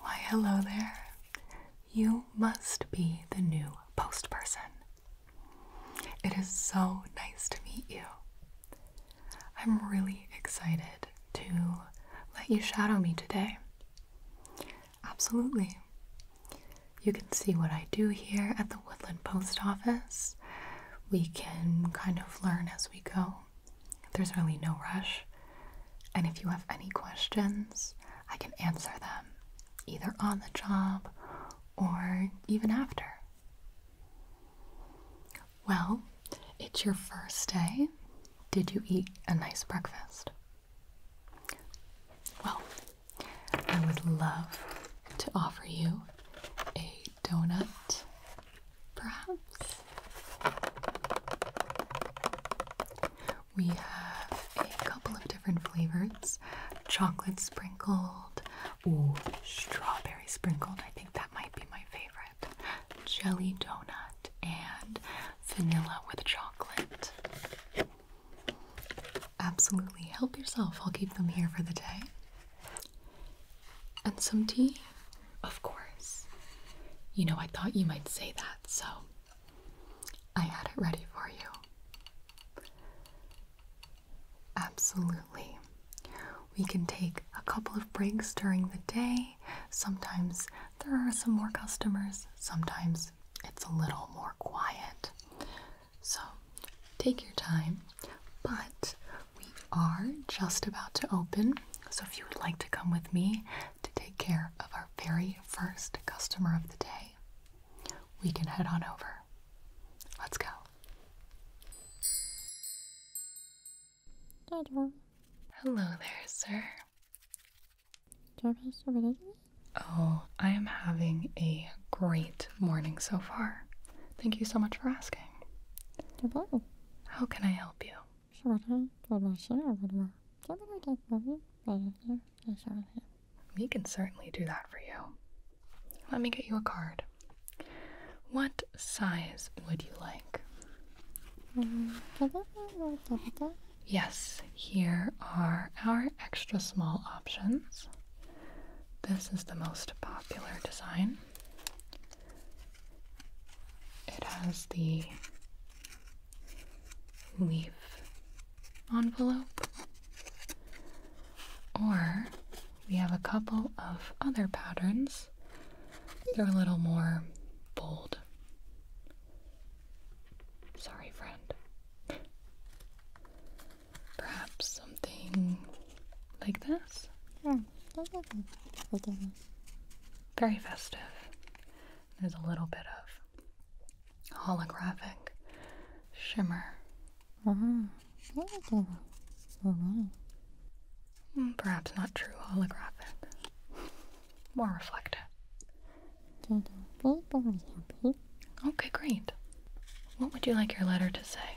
Why, hello there. You must be the new post person. It is so nice to meet you. I'm really excited to let you shadow me today. Absolutely. You can see what I do here at the Woodland Post Office. We can kind of learn as we go. There's really no rush. And if you have any questions, I can answer them either on the job or even after. Well, it's your first day. Did you eat a nice breakfast? Well, I would love to offer you a donut perhaps. We have a couple of different flavors chocolate sprinkled, ooh, strawberry sprinkled. I think that might be my favorite. Jelly donut and vanilla with chocolate. Absolutely, help yourself. I'll keep them here for the day. And some tea of course. You know, I thought you might say that, so I had it ready for you. Absolutely. We can take a couple of breaks during the day. Sometimes there are some more customers, sometimes it's a little more quiet. So take your time, but we are just about to open. So, if you would like to come with me to take care of our very first customer of the day, we can head on over. Let's go. Hello there, sir. Oh, I am having a great morning so far. Thank you so much for asking. How can I help you? We can certainly do that for you. Let me get you a card. What size would you like? Yes, here are our extra small options. This is the most popular design. It has the leaf envelope. Or we have a couple of other patterns. They're a little more bold. Sorry, friend. Perhaps something like this? very festive. There's a little bit of holographic shimmer. Mm-hmm. Perhaps not true holographic, more reflective. Okay, great. What would you like your letter to say?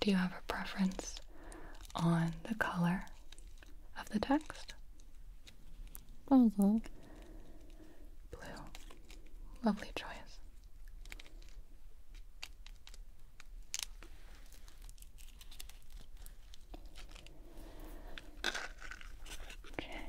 Do you have a preference on the color of the text? Blue. Mm-hmm. Blue. Lovely choice. Okay.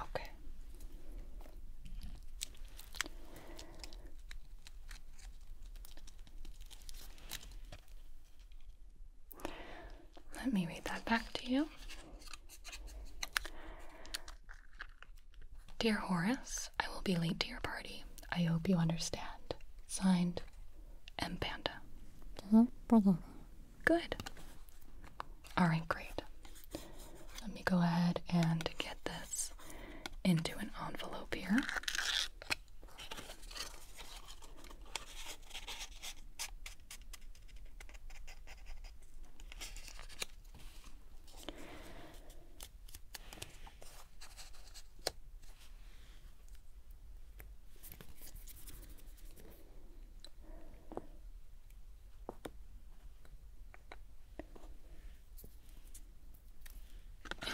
Okay. Let me read that back to you. Dear Horace, I will be late to your party. I hope you understand. Signed, M. Panda. Good. Alright, great. Let me go ahead and get this into an envelope here.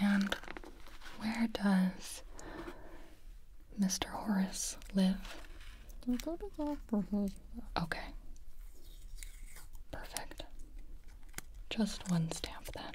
And where does Mr. Horace live? Okay. Perfect. Just one stamp then.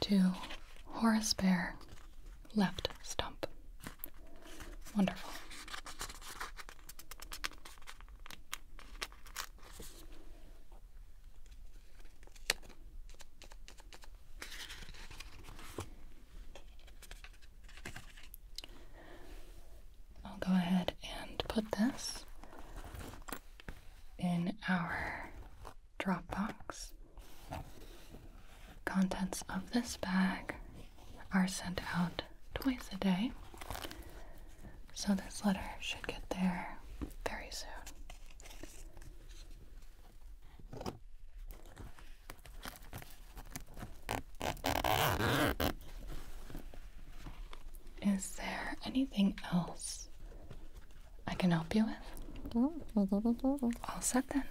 To Horace Bear left stump. Wonderful. I'll go ahead and put this in our Dropbox. Contents of this bag are sent out twice a day, so this letter should get there very soon. Is there anything else I can help you with? All set then.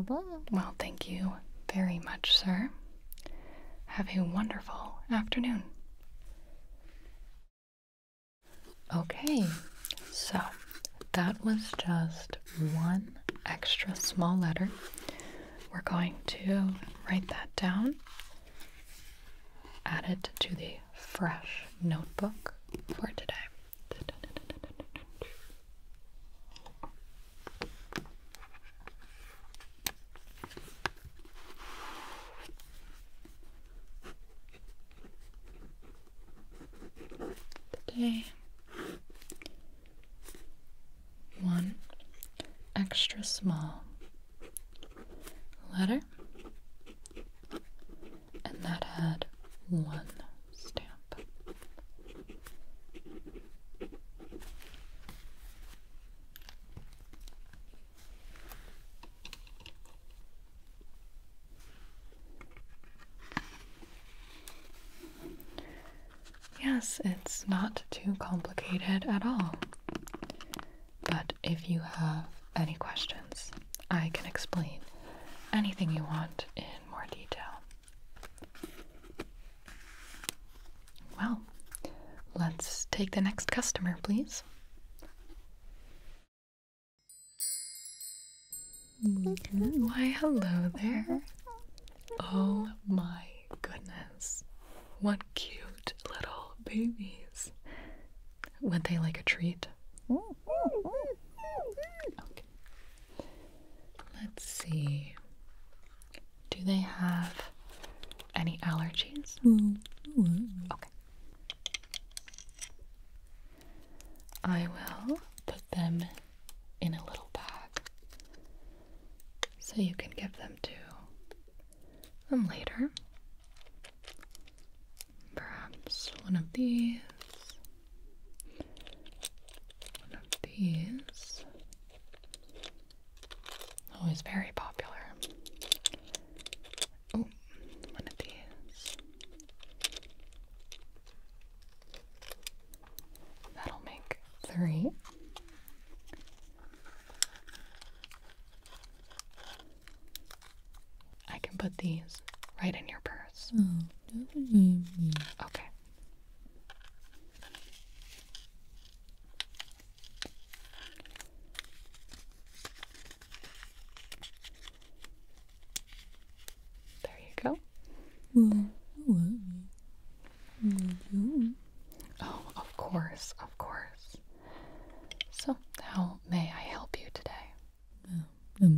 Well, thank you very much, sir. Have a wonderful afternoon. Okay, so that was just one extra small letter. We're going to write that down, add it to the fresh notebook for today. Today, one extra small letter and that had one stamp. Yes, it's not too complicated at all. But if you have any questions, I can explain anything you want in more detail. Well, let's take the next customer, please. Why, hello there. Oh my goodness. What cute little babies. Would they like a treat? Let's see. Do they have any allergies? Okay. I will put them in a little bag so you can give them to them later. Perhaps one of these, one of these. Always oh, very popular. Oh, one of these. That'll make three. I can put these right in your purse. Oh, definitely. Okay. There you go. Oh, of course, of course. So, how may I help you today? bà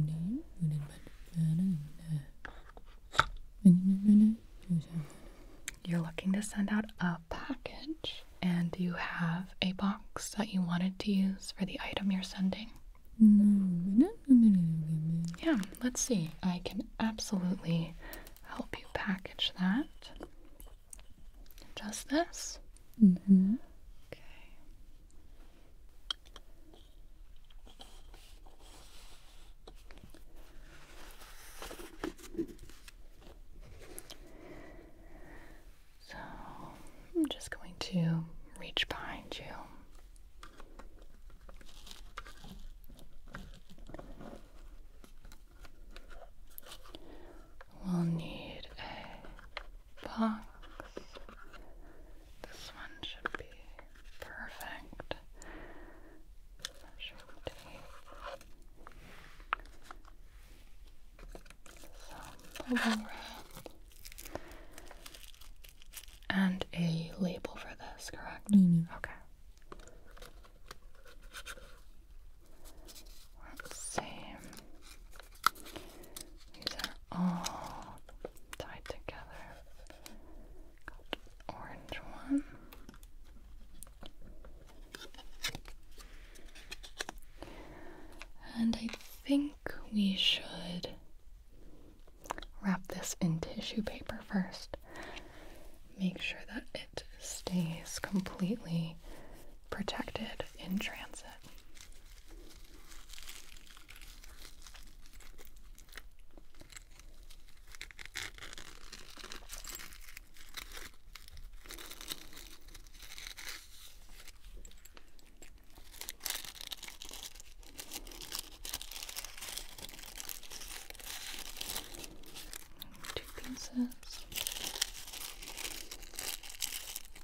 You're looking to send out a package, and you have a box that you wanted to use for the item you're sending. Yeah, let's see. I can absolutely help you package that. Just this. Mm-hmm. Okay. So I'm just going to reach behind you. We'll need a box. This one should be perfect. Measure tape, some and a label for this, correct? Mm-hmm. Okay. let these are all tied together. orange one. And I think we should wrap this in tissue paper first. Make sure that it stays completely protected in transit. Two pieces.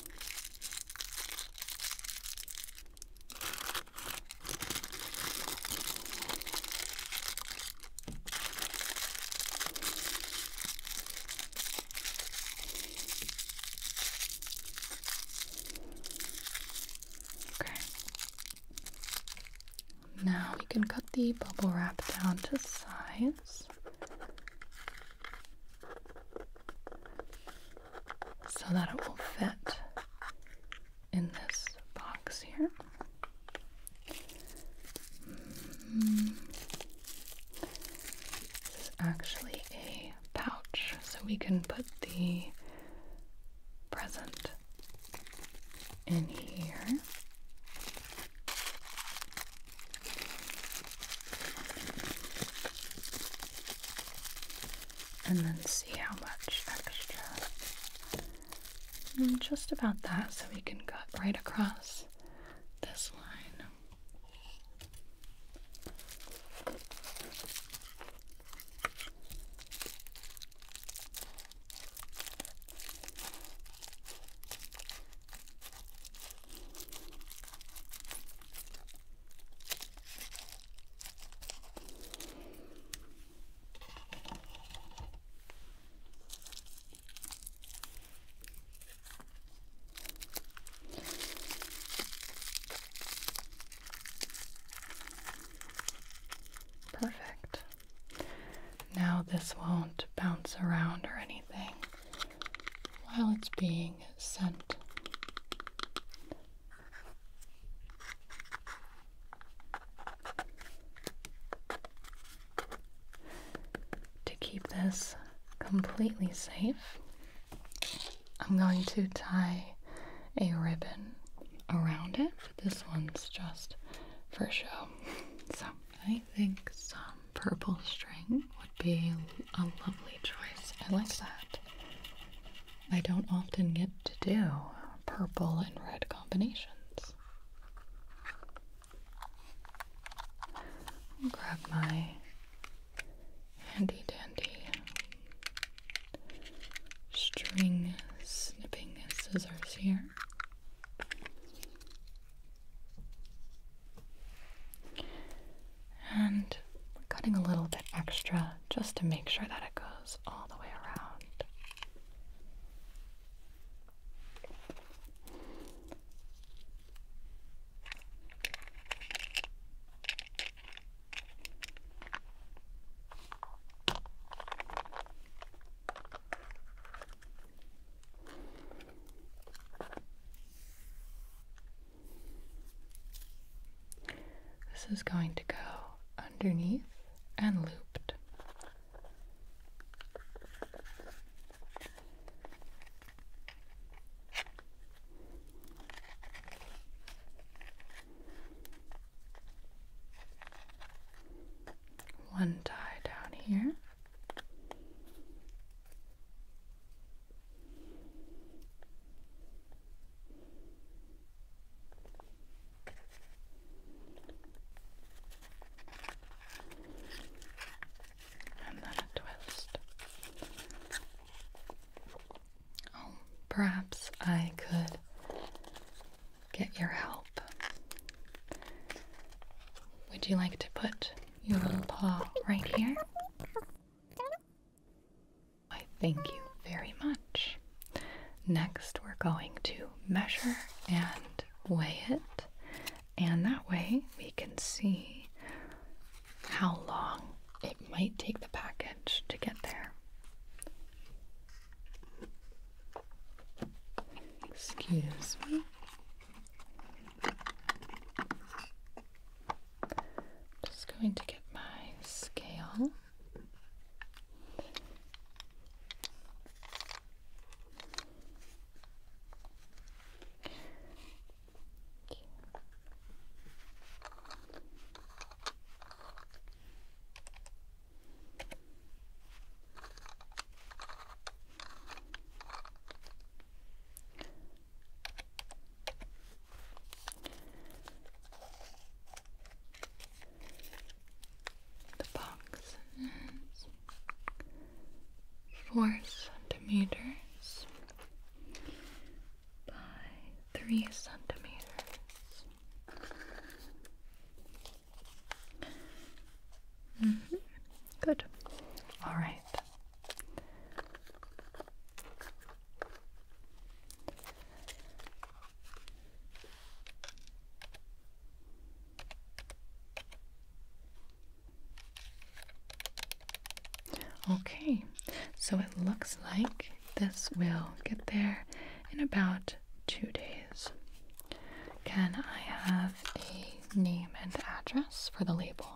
Okay. Now we can cut the bubble wrap down to size. So that it will fit in this box here. Mm. This is actually a pouch, so we can put the present in here and then see how much extra. And mm, just about that, so we can cut right across this line. Perfect. Now, this won't bounce around or anything while it's being sent. To keep this completely safe, I'm going to tie a ribbon around it. This one's just for show. So I think some purple string would be a lovely choice. I like that. I don't often get to do purple and red combinations. grab my handy dandy string snipping scissors here. And cutting a little bit extra just to make sure that it goes all the way around. This is going to go underneath and looped. One tie down here. And then a twist. Oh, perhaps I could get your help. Would you like to put your little paw right here. I thank you very much. Next, we're going to measure and weigh it, and that way we can see how long it might take the package to get there. Excuse me. I'm just going to get my scale. The box four centimeters by three centimeters. Mm-hmm. Good. All right. Okay, so it looks like this will get there in about two days. Can I have a name and address for the label?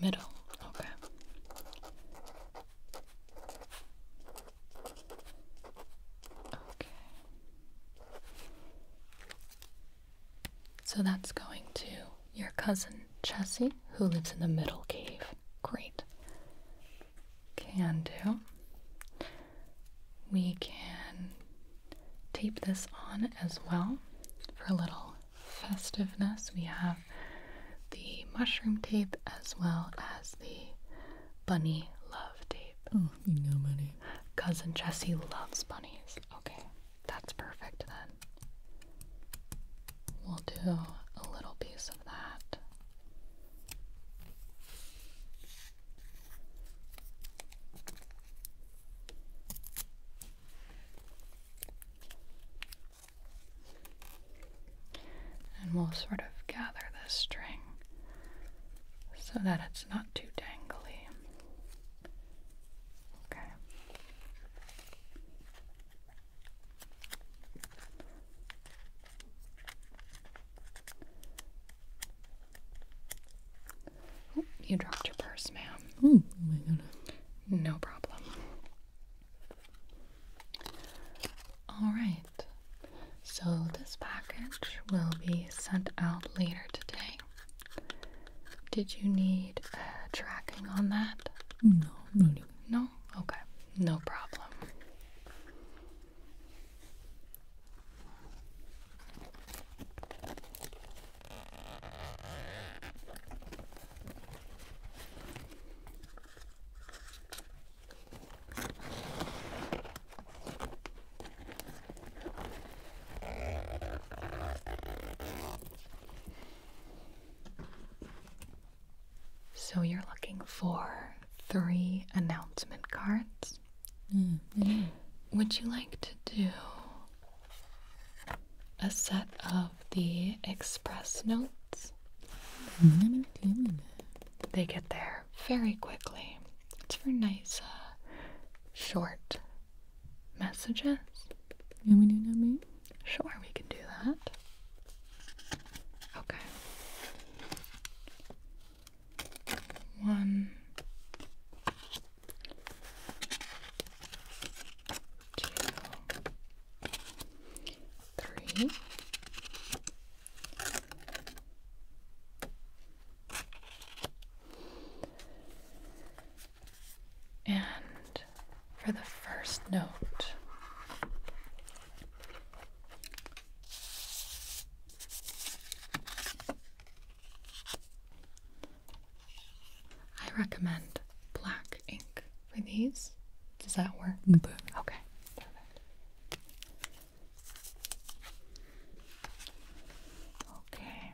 Middle. okay. Okay. So that's going to your cousin Chessie, who lives in the middle cave. Great. Can do we can tape this on as well for a little festiveness. We have the mushroom tape as well as the bunny love tape. Oh, you know bunny. Cousin Jesse loves bunnies. Okay, that's perfect then. We'll do a little piece of that. And we'll sort of gather this string so that it's not too dangly. Okay. Oh, you dropped your purse, ma'am. Oh my god. No problem. All right. So this package will be sent out later today. Did you need uh, tracking on that? No, no, no. No? Okay. No problem. So you're looking for three announcement cards. Mm, would you like to do a set of the express notes? They get there very quickly. It's for nice, uh, short messages. You want me to do Sure, we can do that. Okay one, two, three. And for the first note, I recommend black ink for these. Does that work? Mm, okay. Okay.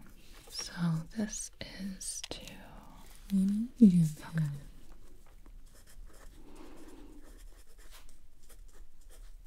So this is to mm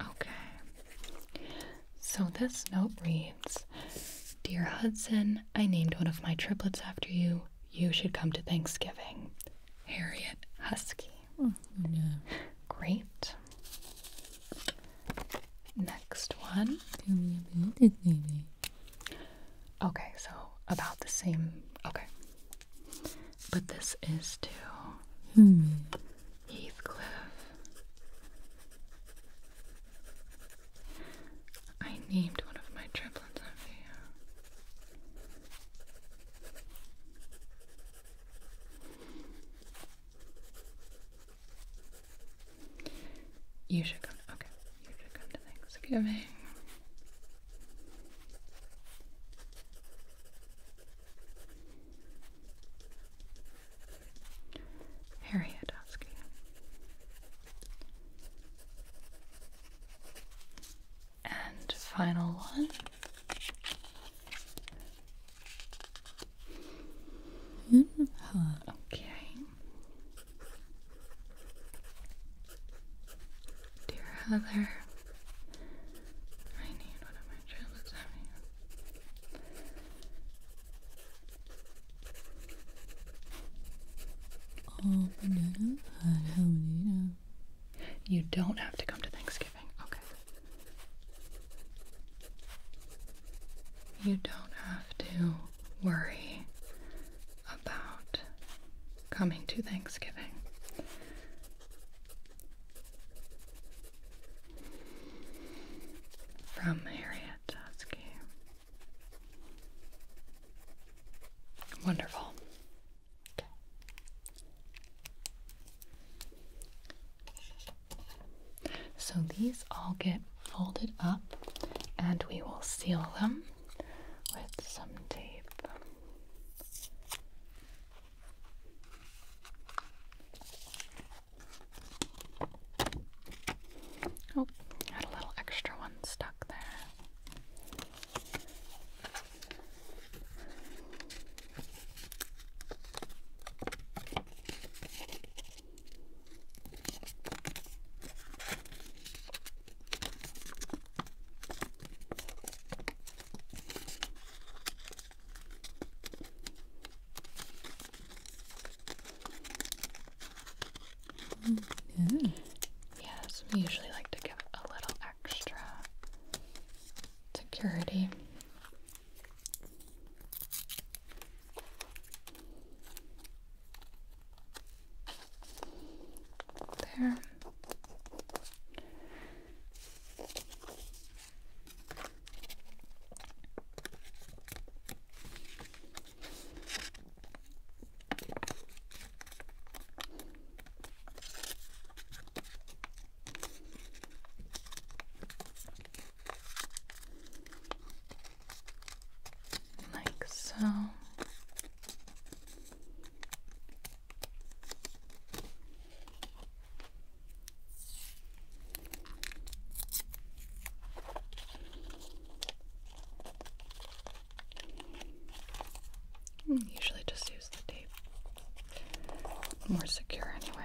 Okay. So this note reads Dear Hudson, I named one of my triplets after you. You should come to Thanksgiving. Harriet Husky. Oh, Great. Next one. Tell Okay, so about the same. Okay. But this is to hmm. Heathcliff. I named one of my triplets after you. You should come. Okay, you should come to Thanksgiving. Harriet And final one. Mm-hmm. Okay. Dear Heather, I need one of my child is having. Oh, banana, banana. You don't have to come to Thanksgiving. Okay. You don't have to worry about coming to Thanksgiving. From Harriet Husky. Wonderful. Okay. So these all get folded up and we will seal them with some tape. Oh, had a little extra one stuck there. Mm, yeah. Yes, we usually like to give a little extra security. There. Like so. Hmm, usually just use the tape. More secure anyway.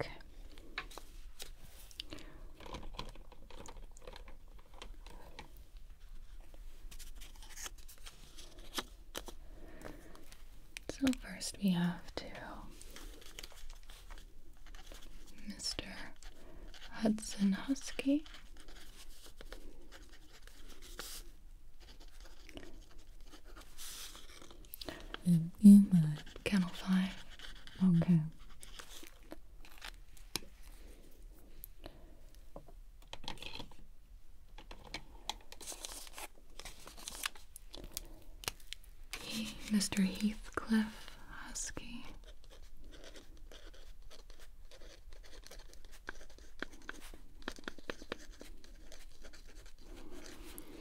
Okay. So, first we have to Mr. Hudson Husky. And in my kennel five. Okay. Mr. Heathcliff Husky.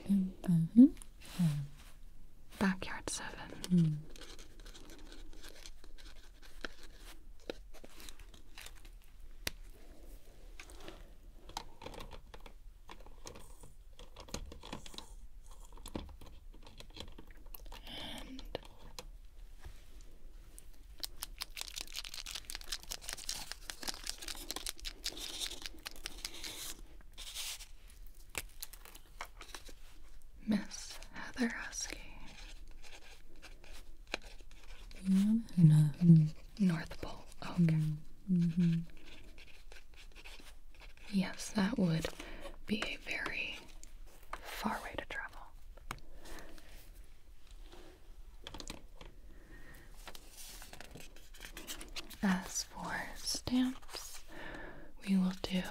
Mm -hmm. Backyard Seven. Hmm. Miss Heather Husky. Mm-hmm. North Pole. Okay. Mm-hmm. Yes, that would be a very far way to travel. As for stamps, we will do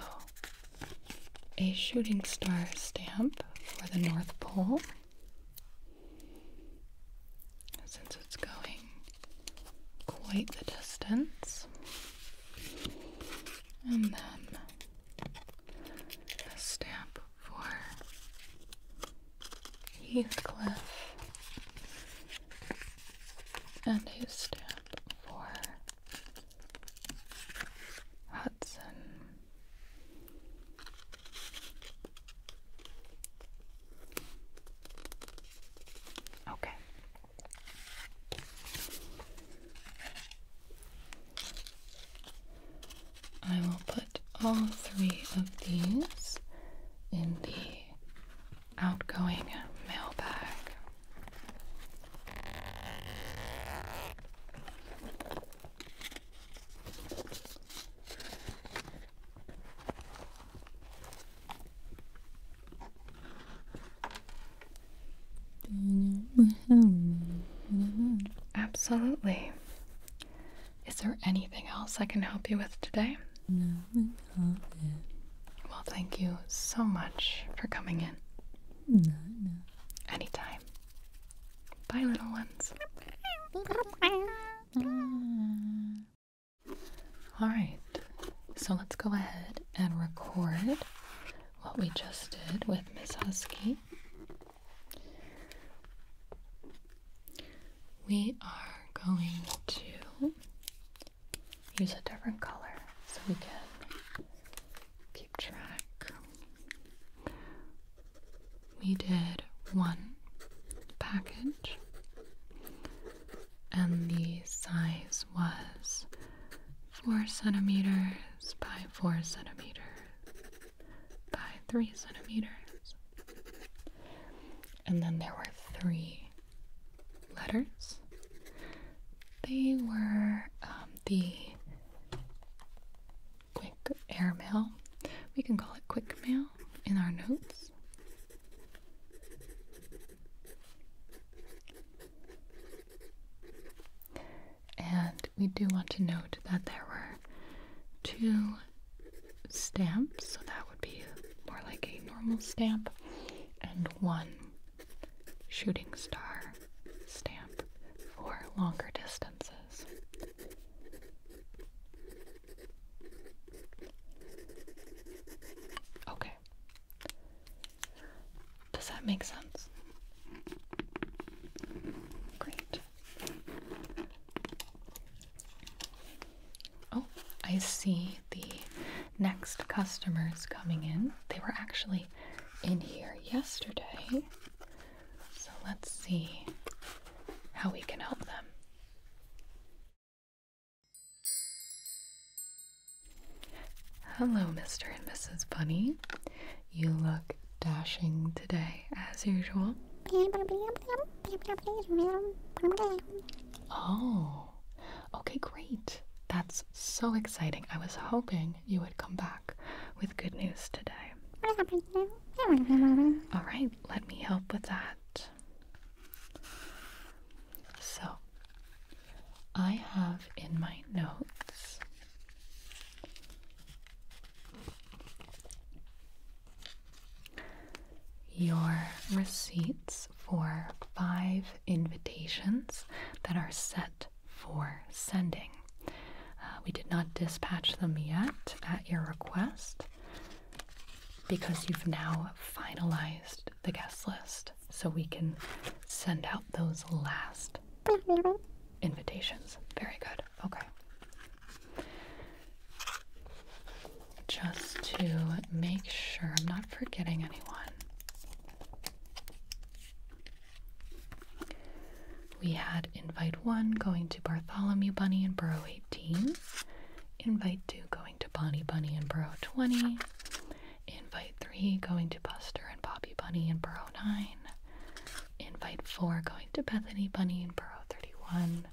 a shooting star stamp for the North Pole. Since it's going quite the distance, and then a stamp for Heathcliff and a stamp for Hudson. Okay, I will put all three of these in the outgoing mailbag. Absolutely. Is there anything else I can help you with today? No, Well, thank you so much for coming in. Anytime. Bye, little ones. All right, so let's go ahead and record what we just did with Miss Husky. We are going to use a different color so we can keep track. We did one package, and the size was four centimeters by four centimeters by three centimeters. And then there were three letters. They were um, the quick air mail. We can call it quick mail in our notes. And we do want to note that there were two stamps, so that would be more like a normal stamp, and one shooting star stamp for longer distances. Okay, does that make sense? Great. Oh, I see the next customers coming in. They were actually in here yesterday. So let's see how we can help them. Hello, Mr. and Mrs. Bunny. You look dashing today, as usual. Oh, okay, great. That's so exciting. I was hoping you would come back with good news today. All right, let me help with that. So, I have in my notes your receipts for five invitations that are set for sending. Uh, we did not dispatch them yet at your request because you've now finalized the guest list so we can send out those last invitations. Very good. Okay. Just to make sure I'm not forgetting anyone. We had invite one going to Bartholomew Bunny and Borough 18, invite two going to Bonnie Bunny and Borough 20, Invite 3 going to Buster and Bobby Bunny in Borough 9. Invite 4 going to Bethany Bunny in Borough 31.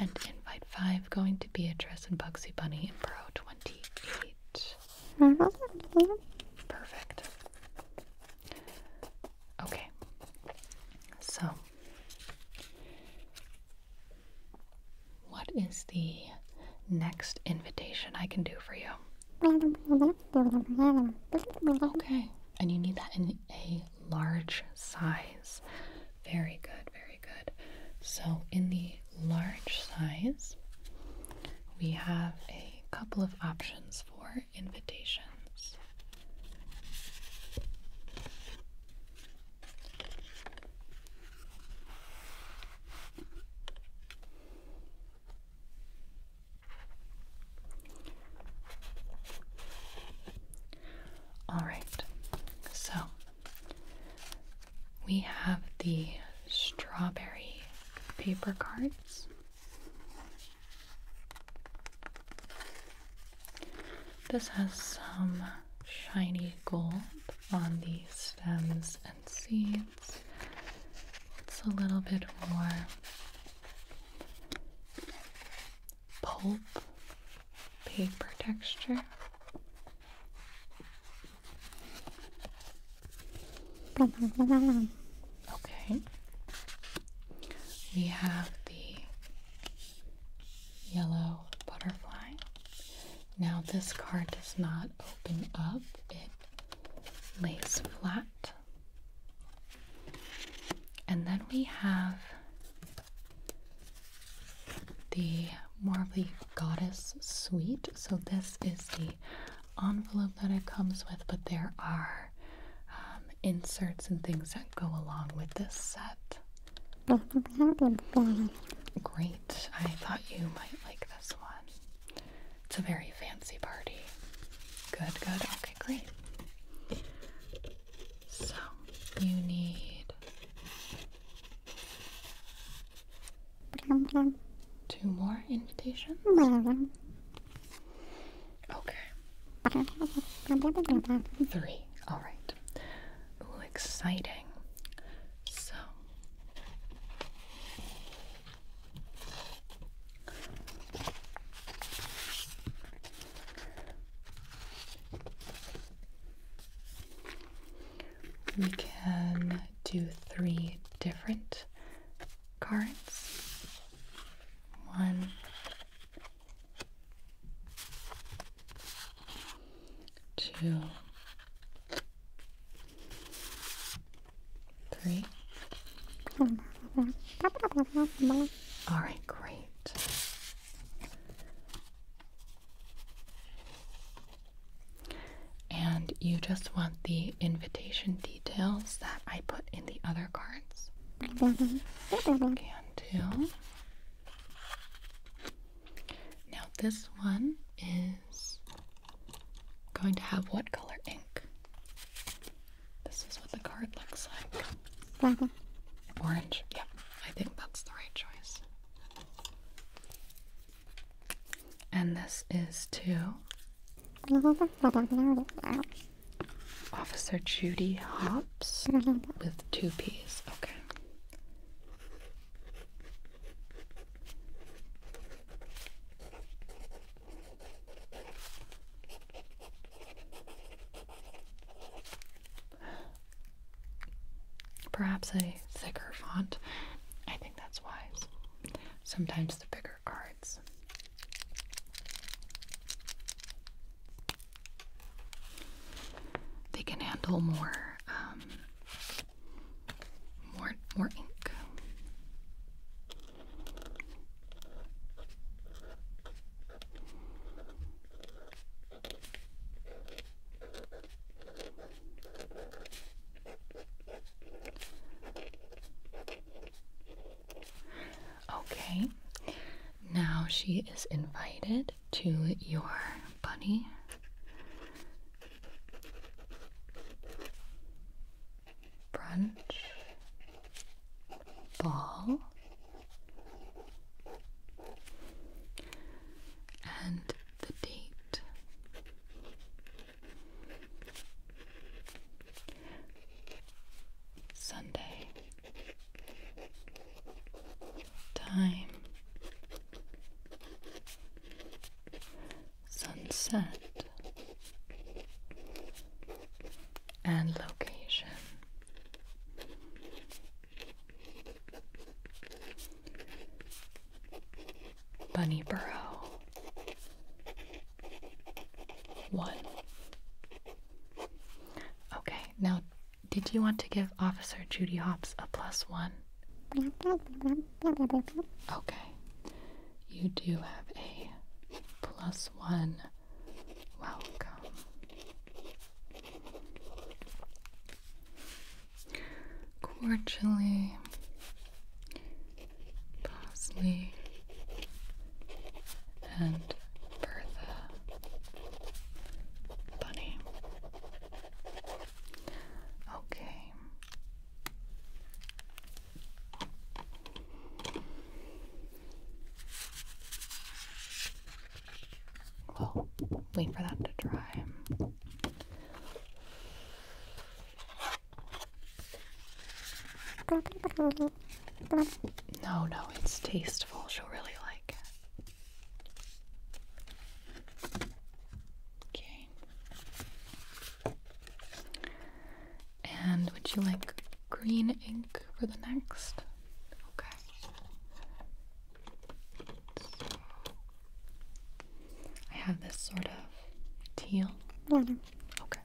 And invite 5 going to Beatrice and Bugsy Bunny in Borough 28. Perfect. Okay. So, what is the next invitation I can do for you? Okay, and you need that in a large size. Very good, very good. So, in the large size, we have a couple of options for invitations. All right, so we have the strawberry paper cards. This has some shiny gold on these stems and seeds. It's a little bit more pulp paper texture. Okay. We have the yellow butterfly. Now, this card does not open up, lays flat. And then we have the more goddess suite. So this is the envelope that it comes with, but there are um, inserts and things that go along with this set. Great. I thought you might like this one. It's a very fancy party. Good, good. Okay, great. So, you need two more invitations. Okay. Three. All right. Ooh, exciting. So, we can do three different cards. One, two, Three. All right, great. And you just want the invitation details that I put in the other cards? Can do. Now, this one is going to have what color ink? This is what the card looks like. Mm-hmm. Orange? Yep, I think that's the right choice. And this is to Officer Judy Hops mm-hmm. with two P's. Okay. Perhaps a thicker font. I think that's wise. Sometimes the bigger cards. They can handle more um, more, more ink. Okay, now she is invited to your bunny brunch, ball, and the date. Sunday. Time sunset and location. Bunnyborough one. Okay, now did you want to give Officer Judy Hopps a plus one? Okay. You do have a plus one welcome. Cordially, Bosley, and Bertha Bunny. Okay, we wait for that to dry. No, no, it's tasteful. She'll really like it. Okay. And would you like green ink for the next? Okay. I have this sort of teal. Okay.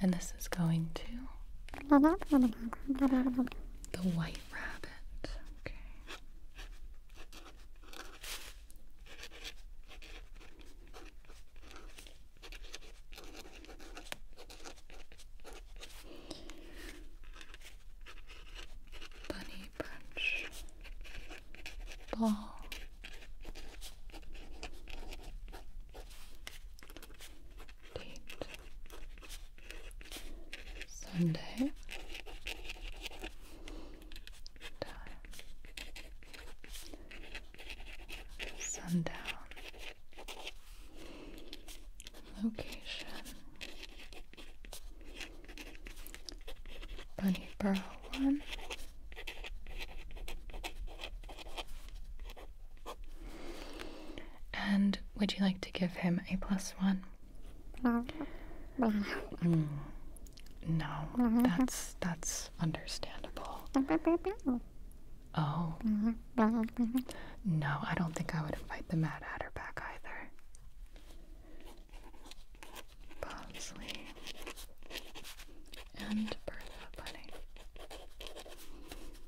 And this is going to. The White Rabbit. Okay. Bunny Punch Ball date Sunday time sundown location Burrow one and would you like to give him a plus one? Mm. No. No, mm-hmm. that's that's understandable. Mm-hmm. Oh. Mm-hmm. No, I don't think I would invite the Mad Hatter back either. Bosley and Bertha Bunny.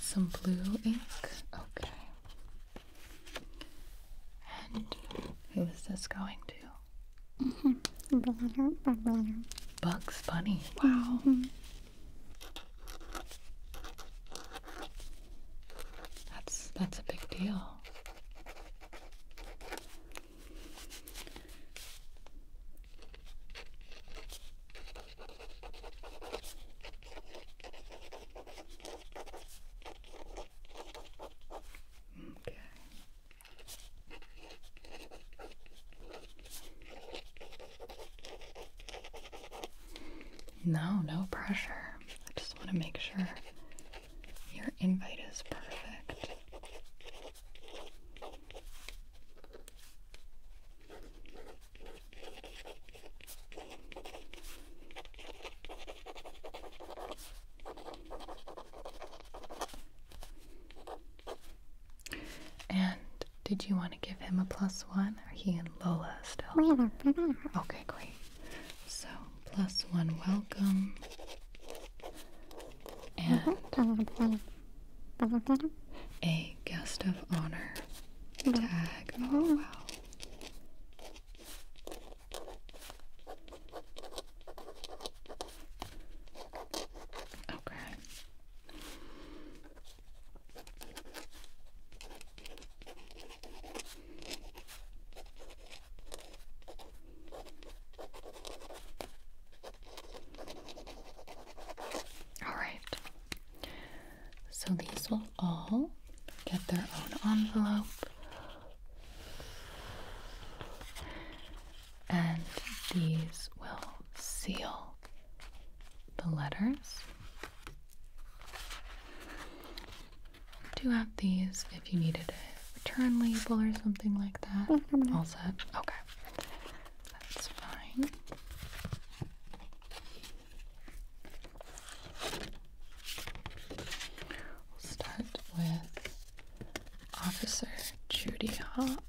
Some blue ink. Okay. And who is this going to? Bugs Bunny. Wow. That's that's a big deal. Okay. No, no pressure. I just want to make sure your invite is perfect. And did you want to give him a plus one? Are he and Lola still? Okay, great. So, plus one welcome. And a guest of honor tag. Oh wow. Okay. All right. So these will all get their own envelope. And these will seal the letters. Do have these if you needed a return label or something like that. Mm-hmm. All set. Okay. That's fine. We'll start with Officer Judy Hopps.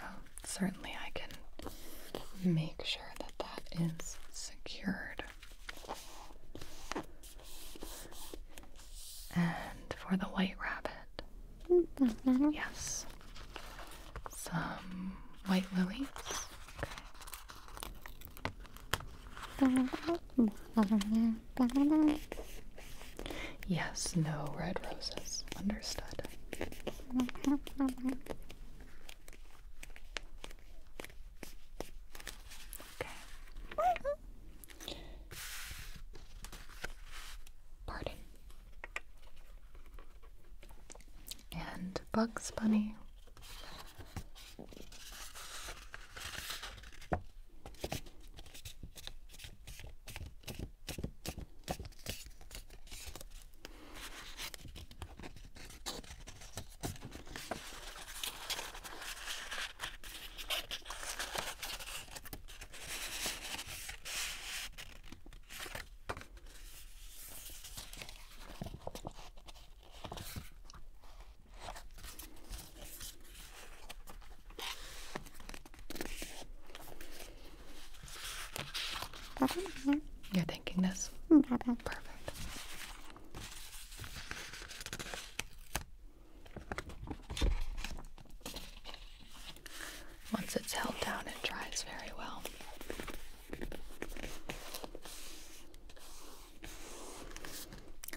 Oh, certainly, I can make sure that that is secured. And for the white rabbit, Mm-hmm. Yes. Some white lilies. Okay. Mm-hmm. Yes, no red roses. Understood. Mm-hmm. Okay. Pardon. And Bugs Bunny. You're thinking this? Mm-hmm. Perfect. Once it's held down, it dries very well.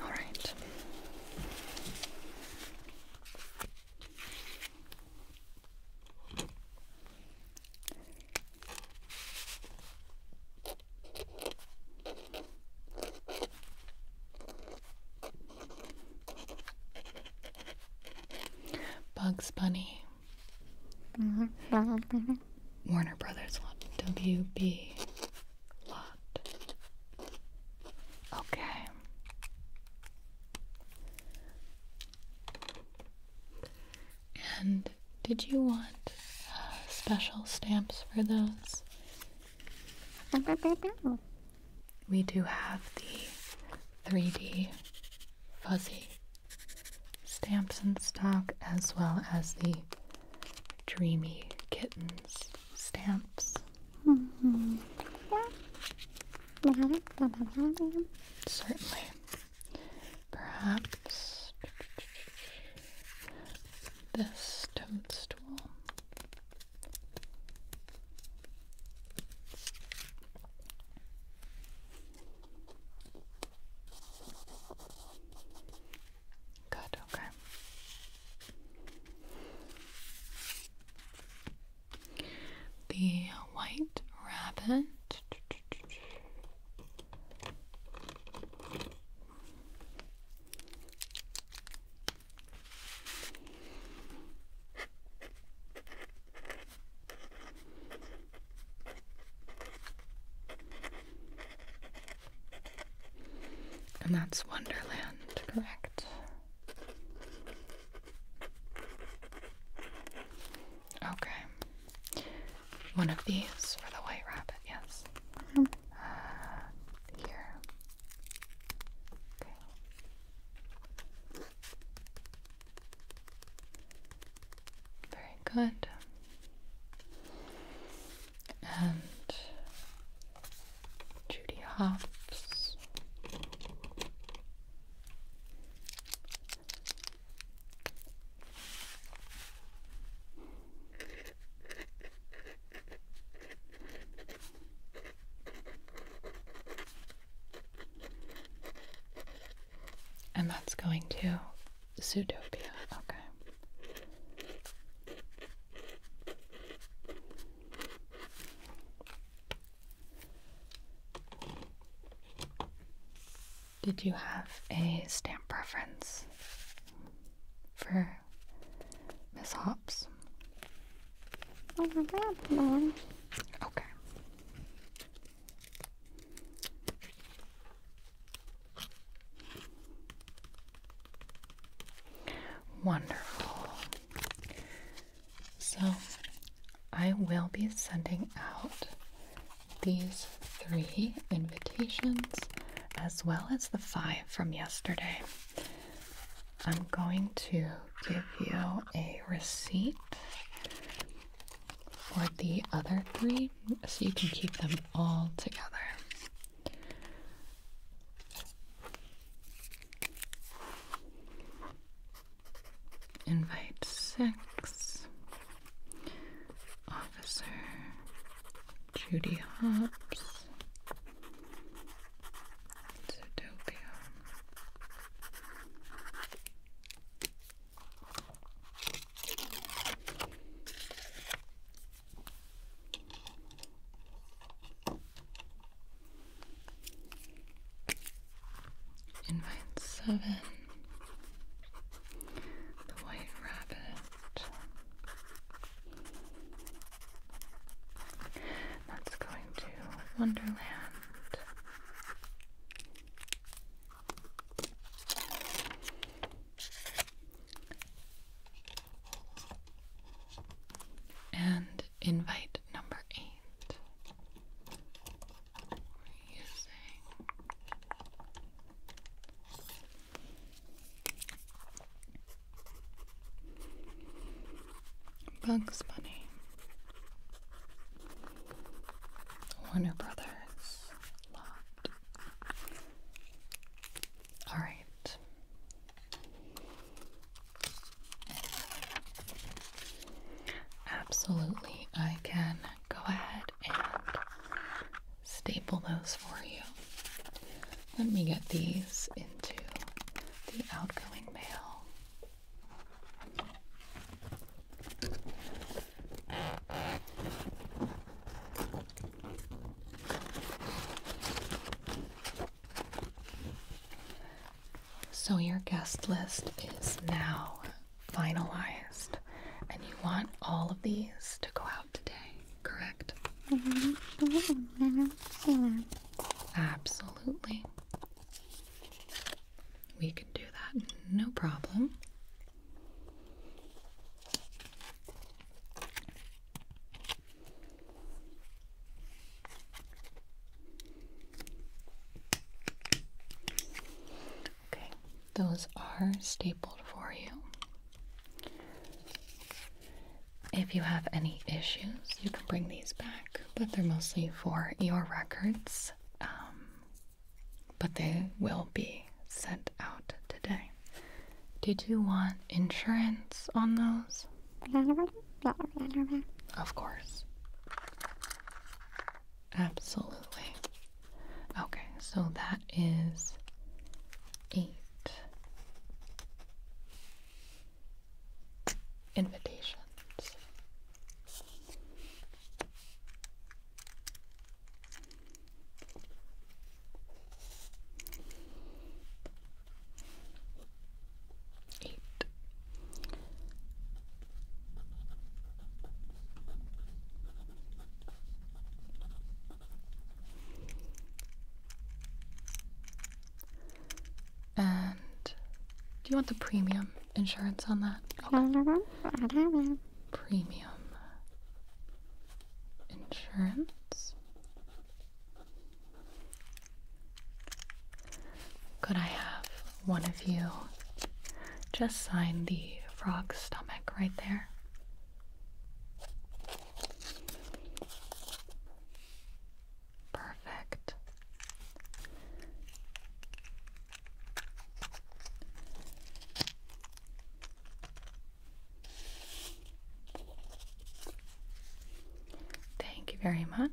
All right. Bugs Bunny. Mm-hmm. Warner Brothers lot. WB lot. Okay. And did you want uh, special stamps for those? we do have the 3D fuzzy stamps in stock as well as the dreamy kittens stamps. Certainly. Perhaps this toadstool Good, okay. The white rabbit. And that's Wonderland, correct? Okay. One of these for the white rabbit, yes. Mm-hmm. Uh, here. Okay. Very good. And Judy Hops. And that's going to Zootopia. Okay. Did you have a stamp preference for Miss Hops? Oh, my bad, Okay. Wonderful. So, I will be sending out these three invitations as well as the five from yesterday. I'm going to give you a receipt for the other three so you can keep them all together. Invite six, Officer Judy Hobbs, Zootopia. Invite seven. The White Rabbit. That's going to Wonderland. And invite number eight. Using Bugs Bunny, Warner Brothers, Locked. All right. Absolutely, I can go ahead and staple those for you. Let me get these into the outgoing mail. So, your guest list is now finalized, and you want all of these to go out today, correct? Mm-hmm. Absolutely. We can do that, no problem. Okay, those are stapled for you. If you have any issues, you can bring these back, but they're mostly for your records. Um, but they will be sent out today. Did you want insurance on those? Of course. Absolutely. Okay, so that is eight invitations. Eight. And do you want the premium insurance on that? Premium insurance. Could I have one of you just sign the frog's stomach right there? Perfect. Thank you very much.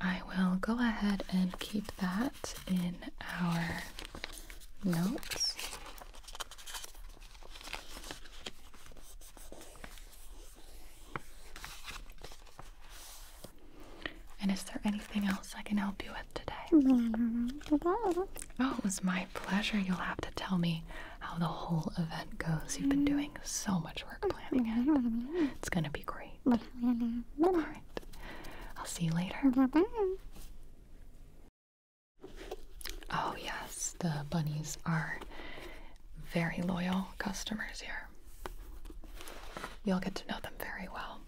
I will go ahead and keep that in our notes. And is there anything else I can help you with today? Oh, it was my pleasure. You'll have to tell me how the whole event goes. You've been doing so much work planning it. It's going to be great. All right. I'll see you later. Oh, yes, the bunnies are very loyal customers here. You'll get to know them very well.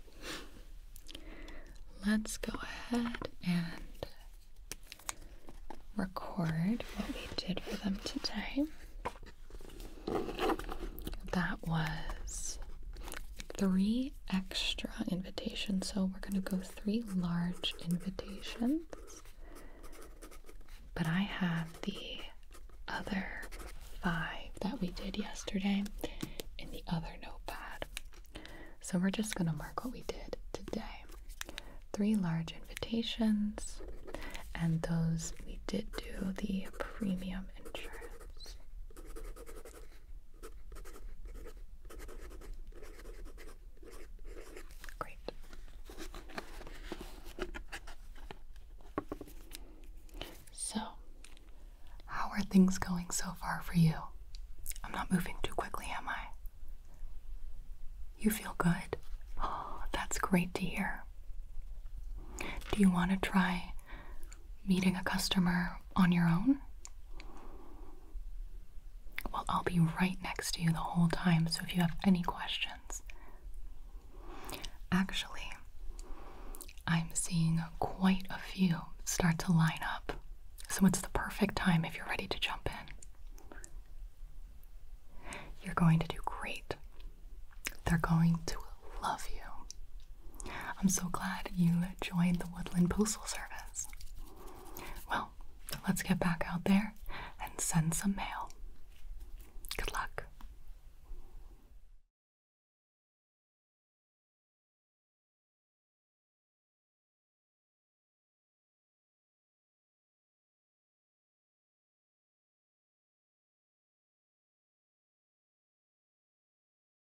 Let's go ahead and record what we did for them today. That was three extra invitations. So we're going to go three large invitations. But I have the other five that we did yesterday in the other notepad. So we're just going to mark what we did today. Three large invitations, and those we did do the premium insurance. Great. So, how are things going so far for you? I'm not moving too quickly, am I? You feel good? Oh, that's great to hear. Do you want to try meeting a customer on your own? Well, I'll be right next to you the whole time, so if you have any questions. Actually, I'm seeing quite a few start to line up, so it's the perfect time if you're ready to jump in. You're going to do great. They're going to love you. I'm so glad you join the Woodland Postal Service. Well, let's get back out there and send some mail. Good luck.